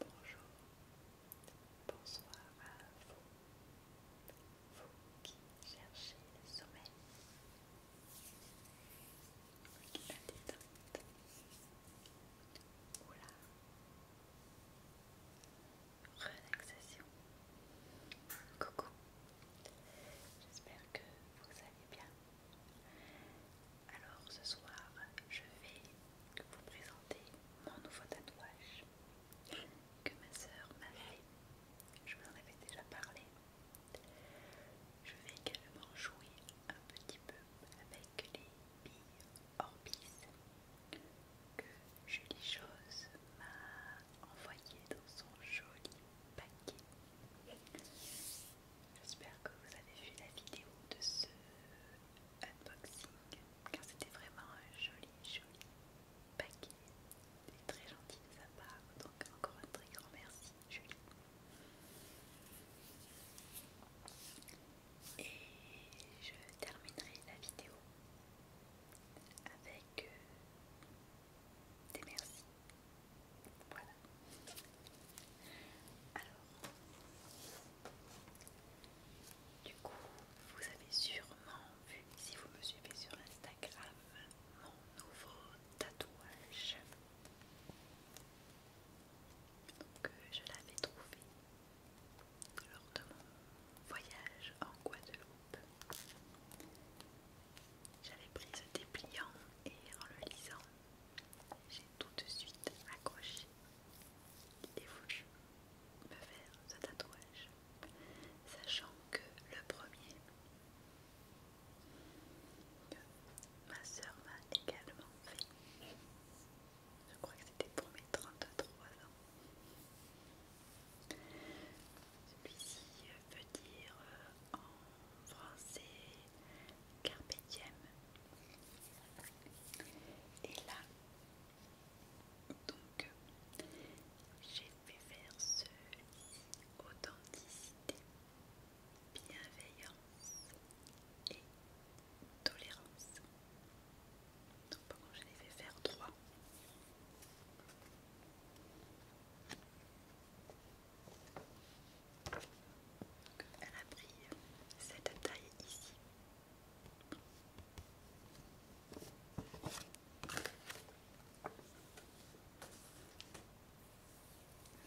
Bonjour, bonsoir à vous, vous qui cherchez le sommeil, qui la détente, ou relaxation. Coucou, j'espère que vous allez bien. Alors ce soir, je vais vous présenter mon nouveau tatouage que ma sœur m'a fait. Je vous en avais déjà parlé. Je vais également jouer un petit peu avec les billes Orbis que Julie Chose m'a envoyé dans son joli paquet. J'espère que vous avez vu la vidéo de ce unboxing car c'était vraiment un joli, joli paquet. C'est très gentil de sa part, donc encore un très grand merci Julie. Et je terminerai la vidéo avec que euh, des merci. Voilà. Alors, du coup, vous avez sûrement vu, si vous me suivez sur Instagram, mon nouveau tatouage. Donc, euh, je l'avais trouvé lors de mon voyage en Guadeloupe. J'avais pris ce dépliant et en le lisant, j'ai tout de suite accroché l'idée de me faire ce tatouage, sachant que le premier ma soeur m'a également fait, je crois que c'était pour mes 33 ans, celui-ci euh, veut dire euh, en français carpe Et là, donc, j'ai fait faire celui-ci authenticité, bienveillance et tolérance. Donc pendant je les fais faire trois. Elle a pris cette taille ici.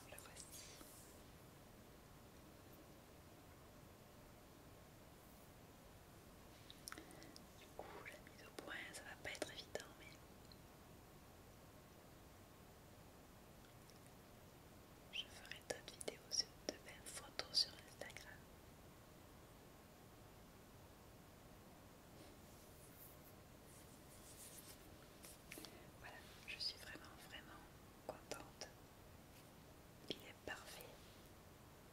Alors la voici. Du coup, la mise au point, ça va pas être évident, mais je ferai d'autres vidéos sur de belles photos sur Instagram. Voilà, je suis vraiment, vraiment contente parfait,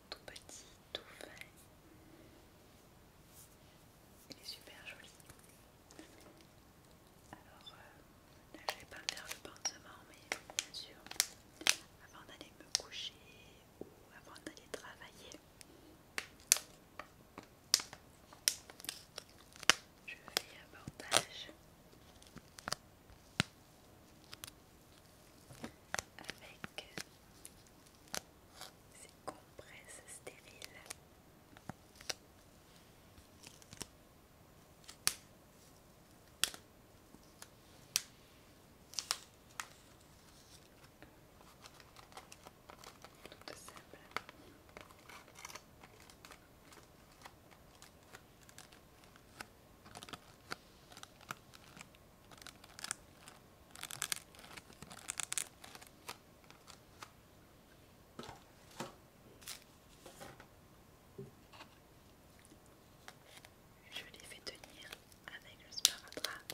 tout petit, tout fin. Il est super joli. Alors, euh, là je vais pas faire le pansement, mais bien sûr, avant d'aller me coucher ou avant d'aller travailler, je fais un bordage avec ces compresses stériles. Je les fais tenir avec le sparadrap.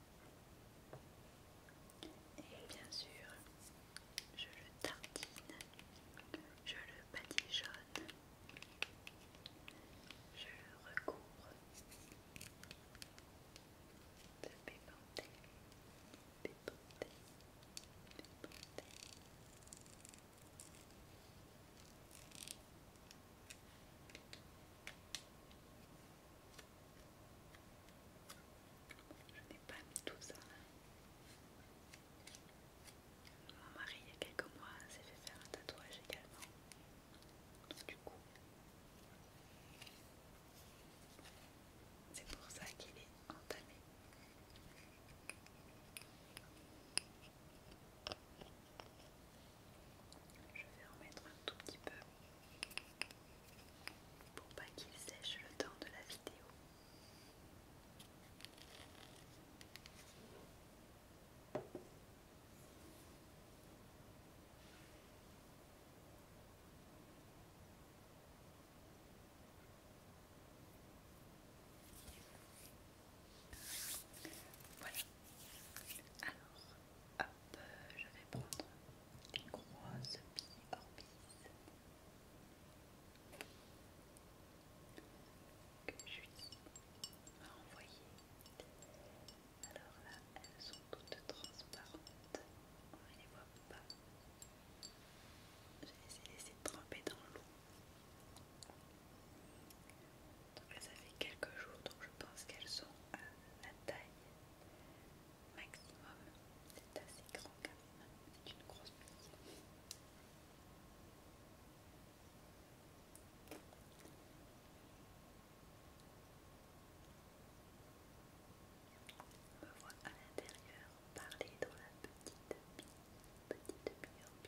Et bien sûr, je le tartine, je le badigeonne, je le recouvre de pépanté, pépanté, pépanté. Je n'ai pas mis tout ça. Mon mari, il y a quelques mois, s'est fait faire un tatouage également. du coup, c'est pour ça qu'il est entamé. Je vais remettre un tout petit peu pour pas qu'il sèche le temps de la vidéo. Voilà. Alors, hop, je vais prendre les grosses biorbies que Julie m'a envoyée Alors là, elles sont toutes transparentes, on ne les voit pas. Je les ai laissées tremper dans l'eau. Donc ça fait quelques jours, donc je pense qu'elles sont à la taille maximum. C'est assez grand quand même, c'est une grosse bise. On me voit à l'intérieur parler dans la petite petite bise.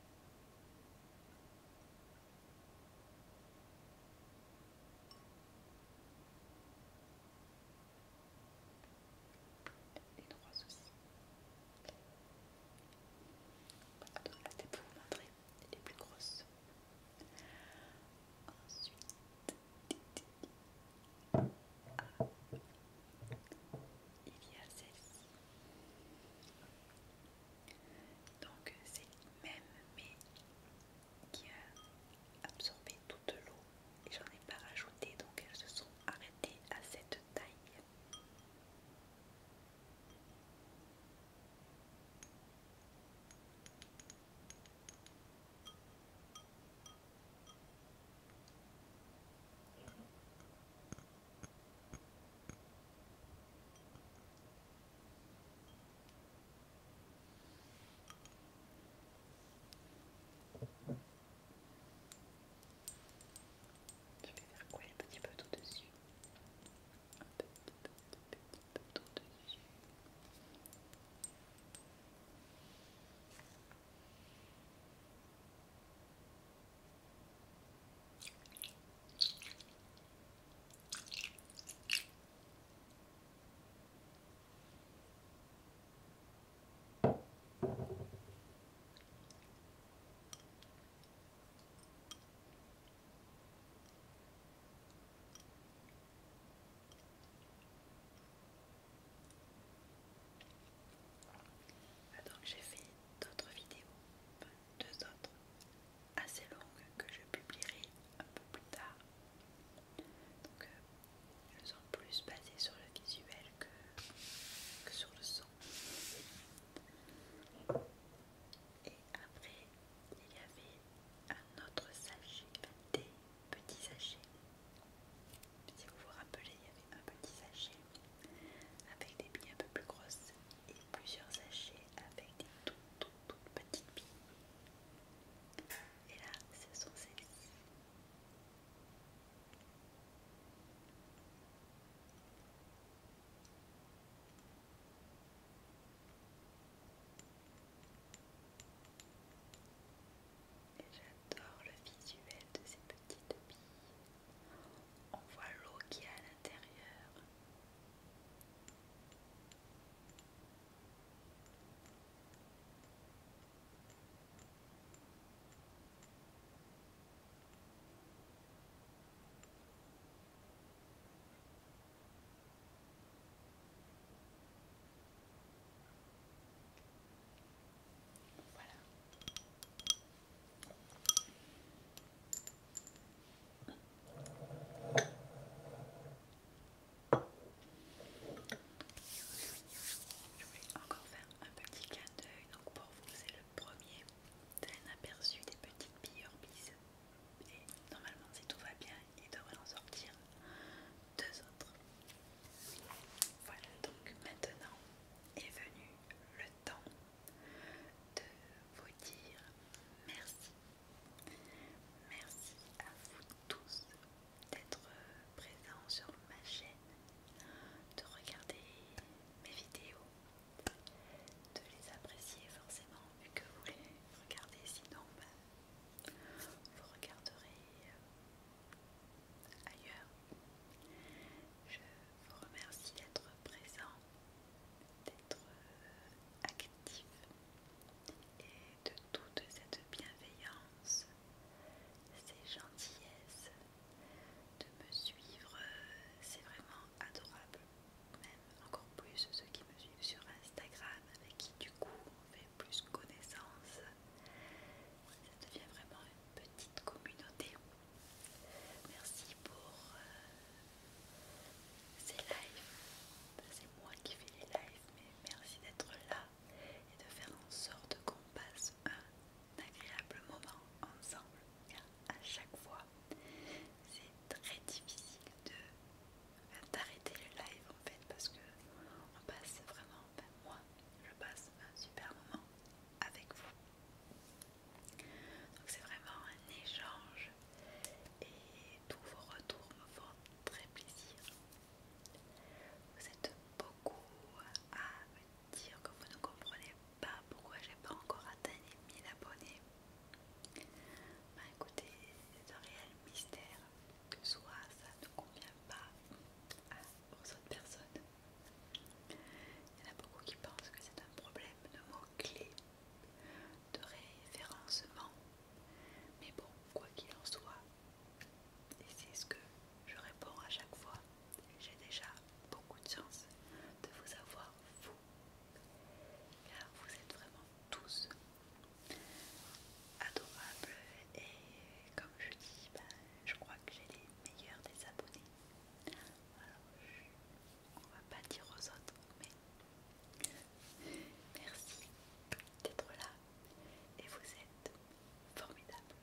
les droits aussi. Voilà, donc là c'était pour vous les plus grosses. Ensuite, il y a celle-ci. Donc c'est même mais qui a absorbé toute l'eau et j'en ai pas rajouté donc elles se sont arrêtées à cette taille. Je vais faire quoi un tout dessus. Donc j'ai fait d'autres vidéos, deux autres assez longues que je publierai un peu plus tard. Donc elles euh, sont plus basées sur le visuel que, que sur le son. Et après, il y avait un autre sachet, des petits sachets si vous vous rappelez, il y avait un petit sachet avec des billes un peu plus grosses et plusieurs sachets avec des toutes, toutes, petites billes. Et là, ce sont celles-ci j'adore le visuel de ces petites billes. On voit l'eau qui est à l'intérieur. Voilà. Je voulais encore faire un petit clin d'œil, donc pour vous c'est le premier, D'un aperçu des petites billes Orbis. Et normalement si tout va bien, il devrait en sortir deux autres. Voilà donc maintenant est venu le temps de vous dire merci. Merci à vous tous d'être présents sur ma chaîne, de regarder mes vidéos, de les apprécier forcément vu que vous les regardez sinon bah, vous regarderez euh, ailleurs. Je vous remercie d'être présent, d'être euh, actif et de toute cette bienveillance, ces gentillesses, de me suivre, euh, c'est vraiment adorable. Même encore plus ceux qui me suivent sur Instagram, avec qui du coup on fait plus connaissance ça devient vraiment une petite communauté. Merci pour euh, ces lives. C'est moi qui fais les lives, mais merci d'être là et de faire en sorte qu'on passe un agréable moment ensemble. à chaque fois, c'est très difficile de ben, d'arrêter le live en fait parce que on passe vraiment, 20 ben, moi je passe un super moment avec vous. Donc c'est vraiment un échange et tous vos retours me font très plaisir. Vous êtes beaucoup à me dire que vous ne comprenez pas pourquoi j'ai pas encore atteint les 1000 abonnés. Bah écoutez, c'est un réel mystère que soit ça ne convient pas à aux autres personnes. Il y en a beaucoup qui pensent que c'est un problème de mots-clés, de référencement. Mais bon, quoi qu'il en soit, et c'est ce que je réponds à chaque fois, j'ai déjà beaucoup de chance de vous avoir, vous, car vous êtes vraiment tous adorables et comme je dis, ben, je crois que j'ai les meilleurs des abonnés. Alors, on va pas dire aux autres, mais merci d'être là et vous êtes formidables.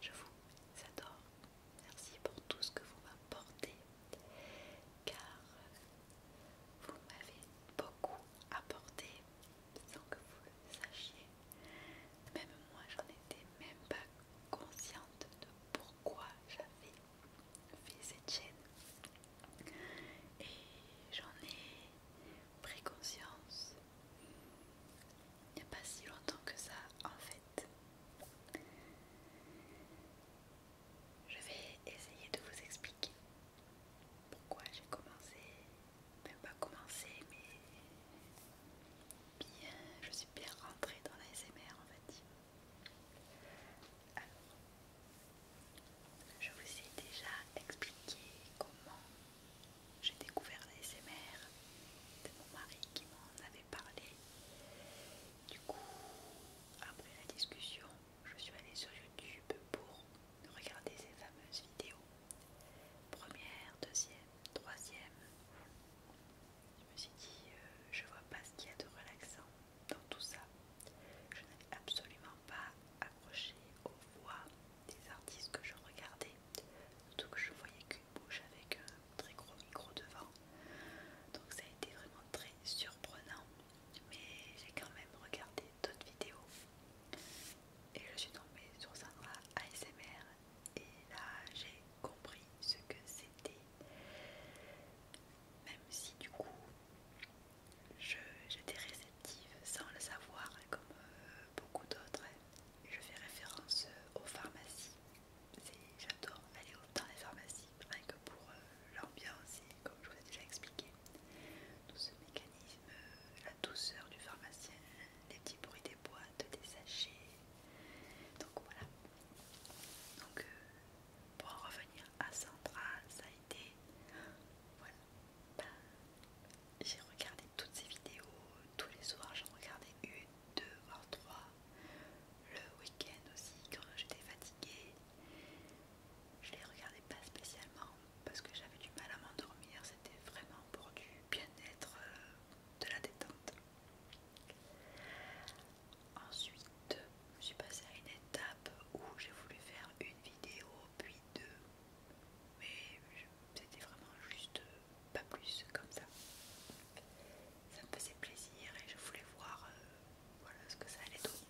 Je vous adore. Merci pour tout ce que vous m'apportez, car vous m'avez beaucoup apporté sans que vous le sachiez. Même moi, j'en étais même pas consciente de pourquoi j'avais fait cette chaîne. Et j'en ai pris conscience il n'y a pas si longtemps que ça, en fait. Je vais essayer de vous expliquer pourquoi j'ai commencé, même pas commencé, mais bien, je suis bien rentrée dans l'ASMR en fait. Alors, je vous ai déjà expliqué comment j'ai découvert l'ASMR de mon mari qui m'en avait parlé. Du coup, après la discussion, je suis allée sur YouTube pour regarder ces fameuses vidéos. Première, deuxième, troisième. Je me suis dit, euh, je vois pas ce qu'il y a de relaxant dans tout ça. Je n'ai absolument pas accroché aux voix des artistes que je regardais, surtout que je voyais qu'une bouche avec un très gros micro devant. Donc ça a été vraiment très surprenant. Mais j'ai quand même regardé d'autres vidéos et je suis tombée sur Sandra ASMR et là j'ai compris ce que c'était. Même si du coup j'étais réceptive sans le savoir comme euh, beaucoup d'autres. Je fais référence euh, aux pharmacies. J'adore aller dans les pharmacies rien que pour euh, l'ambiance et comme je vous ai déjà expliqué tout ce mécanisme, euh, la douceur du pharmacien, les petits bruits des boîtes, des sachets. Donc voilà. Donc euh, pour en revenir à Sandra, ça a été... Voilà. Bah, j'ai regardé toutes ces vidéos, tous les soirs j'en regardais une, deux, voire trois. Le week-end aussi, quand j'étais fatiguée. Je les regardais pas spécialement parce que j'avais du mal à m'endormir, c'était vraiment pour du bien-être, euh, de la détente. Ensuite, je suis passée à une étape où j'ai voulu faire une vidéo, puis deux, mais c'était vraiment juste pas plus comme ça. Ça me faisait plaisir et je voulais voir euh, voilà, ce que ça allait donner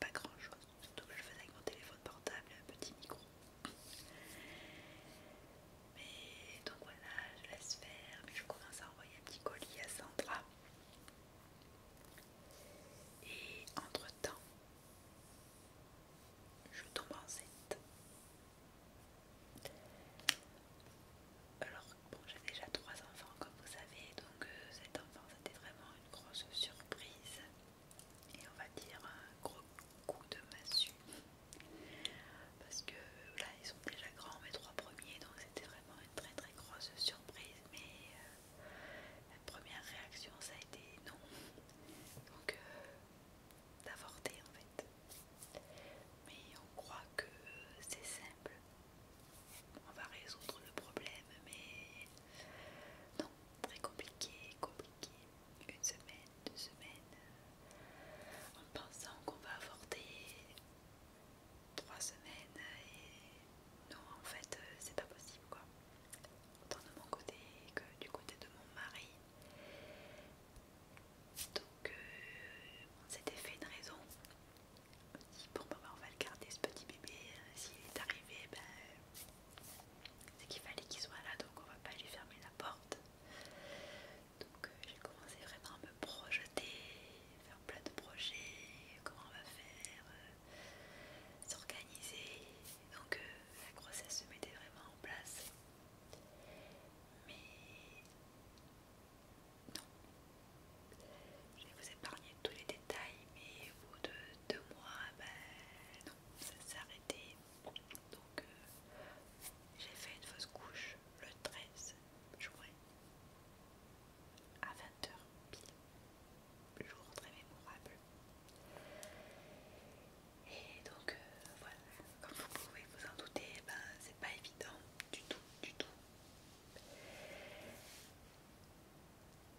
pas grand chose, surtout que je faisais avec mon téléphone portable et un petit micro. Mais donc voilà, je laisse faire, je commence à envoyer un petit colis à Sandra. Et entre temps, je tombe enceinte. Alors bon, j'ai déjà trois enfants comme vous savez, donc euh, cet enfant c'était vraiment une grosse surprise et on va dire un gros coup de massue parce que là ils sont déjà grands mes trois premiers donc c'était vraiment une très très grosse surprise mais euh, la première réaction ça a été non donc euh, d'avorter en fait mais on croit que c'est simple on va résoudre le problème, mais non, très compliqué, compliqué. Une semaine, deux semaines, en pensant qu'on va avorter trois semaines, et non, en fait, euh, c'est pas possible quoi. Autant de mon côté que du côté de mon mari. Donc, euh, on s'était fait une raison bon on va le garder ce petit bébé, euh, s'il est arrivé, ben, c'est qu'il fallait qu'il soit là, donc on va pas lui fermer la porte. Donc euh, j'ai commencé vraiment à me projeter, faire plein de projets, comment on va faire, euh, s'organiser. Donc la grossesse se mettait vraiment en place. Mais non, je vais vous épargner tous les détails, mais au bout de deux mois, eh ben ça s'est arrêté. Donc euh, j'ai fait une fausse couche le 13 juin à 20h pile, jour très mémorable. Et donc euh, voilà, comme vous pouvez vous en douter, eh ben, c'est pas évident du tout, du tout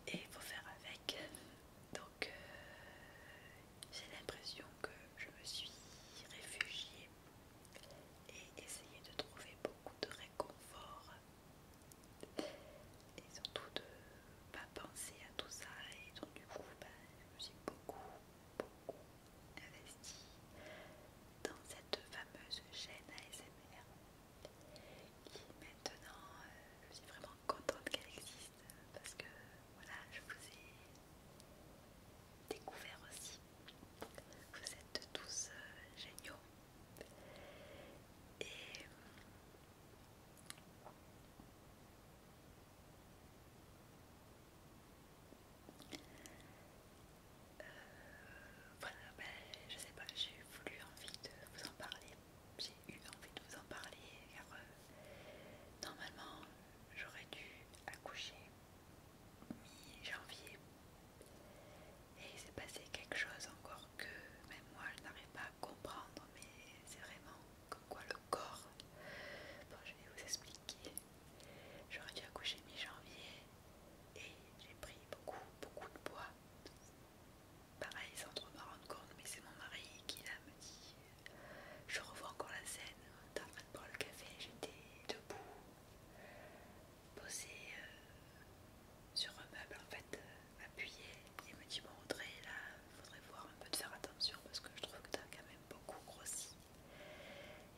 et il faut faire avec. Donc euh, j'ai l'impression que je me suis réfugiée et essayé de trouver beaucoup de réconfort et surtout de pas penser à tout ça et donc du coup bah, je me suis beaucoup beaucoup investie dans cette fameuse chaîne ASMR qui maintenant euh, je suis vraiment contente qu'elle existe parce que voilà je vous ai découvert aussi vous êtes tous euh, géniaux et euh, voilà, ben, je sais pas, j'ai voulu envie de vous en parler, j'ai eu envie de vous en parler car euh, normalement j'aurais dû accoucher mi-janvier et il s'est passé quelque chose encore que même moi je n'arrive pas à comprendre mais c'est vraiment comme quoi le corps, bon je vais vous expliquer, j'aurais dû accoucher mi-janvier et j'ai pris beaucoup beaucoup de poids Pareil, sans trop m'en rendre compte, mais c'est mon mari qui me dit Je revois encore la scène, on fait le café, j'étais debout, posée euh, sur un meuble en fait, appuyé euh, appuyée, il me dit Bon, Audrey, là, faudrait voir un peu de faire attention parce que je trouve que t'as quand même beaucoup grossi.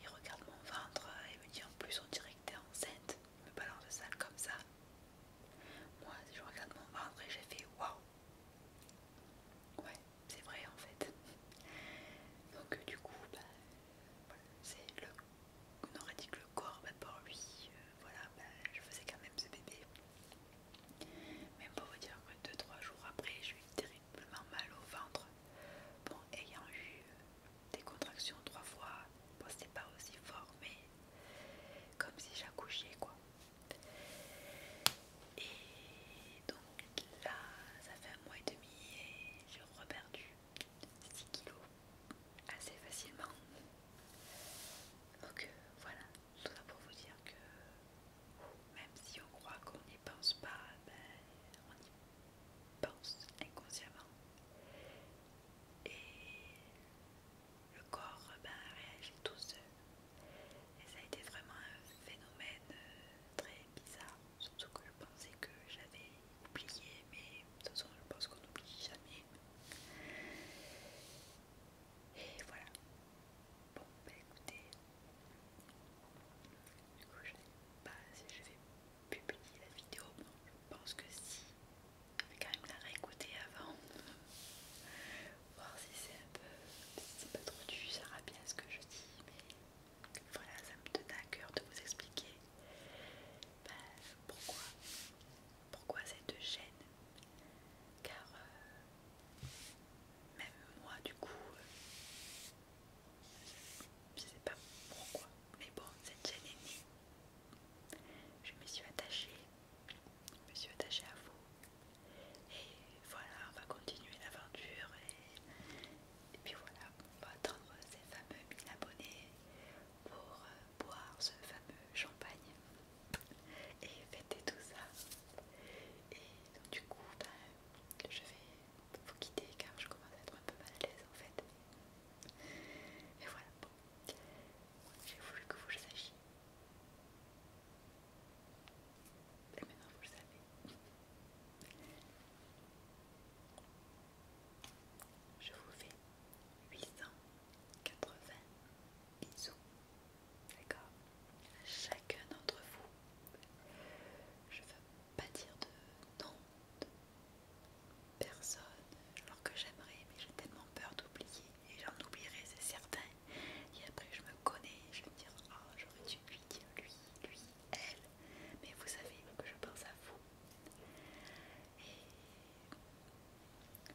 Il regarde mon ventre et me dit En plus, on dirait que t'es enceinte me balance de salle comme ça. Moi, je regarde mon ventre et j'ai fait waouh! Ouais, c'est vrai en fait. Donc, euh, du coup, bah, c'est le. On aurait dit que le corps, bah, pour lui, euh, voilà, bah, je faisais quand même ce bébé. Même pour vous dire que 2-3 jours après, j'ai eu terriblement mal au ventre. Bon, ayant eu euh, des contractions trois fois. c'était pas aussi fort, mais comme si j'accouchais quoi. Et donc là, ça fait un mois et demi et j'ai reperdu 6 kilos assez facilement. Donc euh, voilà, tout ça pour vous dire que même si on croit qu'on n'y pense pas, ben, on y pense inconsciemment et le corps ben, réagit tout seul. Et ça a été vraiment un phénomène euh, très bizarre, surtout que je pensais que j'avais oublié, mais de toute façon je pense qu'on n'oublie jamais. Et voilà. Bon, bah écoutez, du coup je sais pas si je vais publier la vidéo. Bon, je pense que si, je quand même la réécouter avant. Voir si c'est un peu. si c'est pas trop du ça ira bien ce que je dis. Mais voilà, ça me tenait à coeur de vous expliquer ben, pourquoi. Pourquoi cette chaîne Car euh, même moi du coup euh, je sais pas pourquoi mais bon, cette chaîne est née. Je me suis attachée, je me suis attachée à vous. Et voilà, on va continuer l'aventure. Et, puis voilà, on va attendre ces fameux 1000 abonnés pour euh, boire ce fameux champagne et fêter tout ça. Et donc, du coup, ben, je vais vous quitter car je commence à être un peu mal à l'aise en fait. Et voilà, bon, j'ai voulu que vous le sachiez. Et maintenant vous le savez. Je vous fais 880 bisous. D'accord Chacun d'entre vous. Je veux pas dire de nom de personne alors que j'aimerais mais j'ai tellement peur d'oublier et j'en oublierai c'est certain et après je me connais je vais me dire oh, j'aurais dû lui dire lui lui elle mais vous savez que je pense à vous et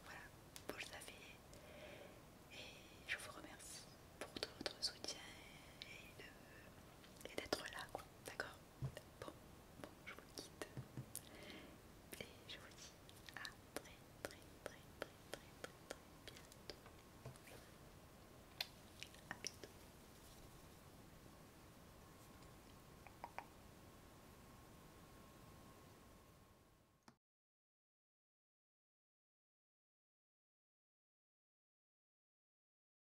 voilà vous le savez et je vous remercie pour tout votre soutien et, d'être là d'accord Bon, je vous quitte. Et je vous dis à très très très très très très très bientôt. bientôt.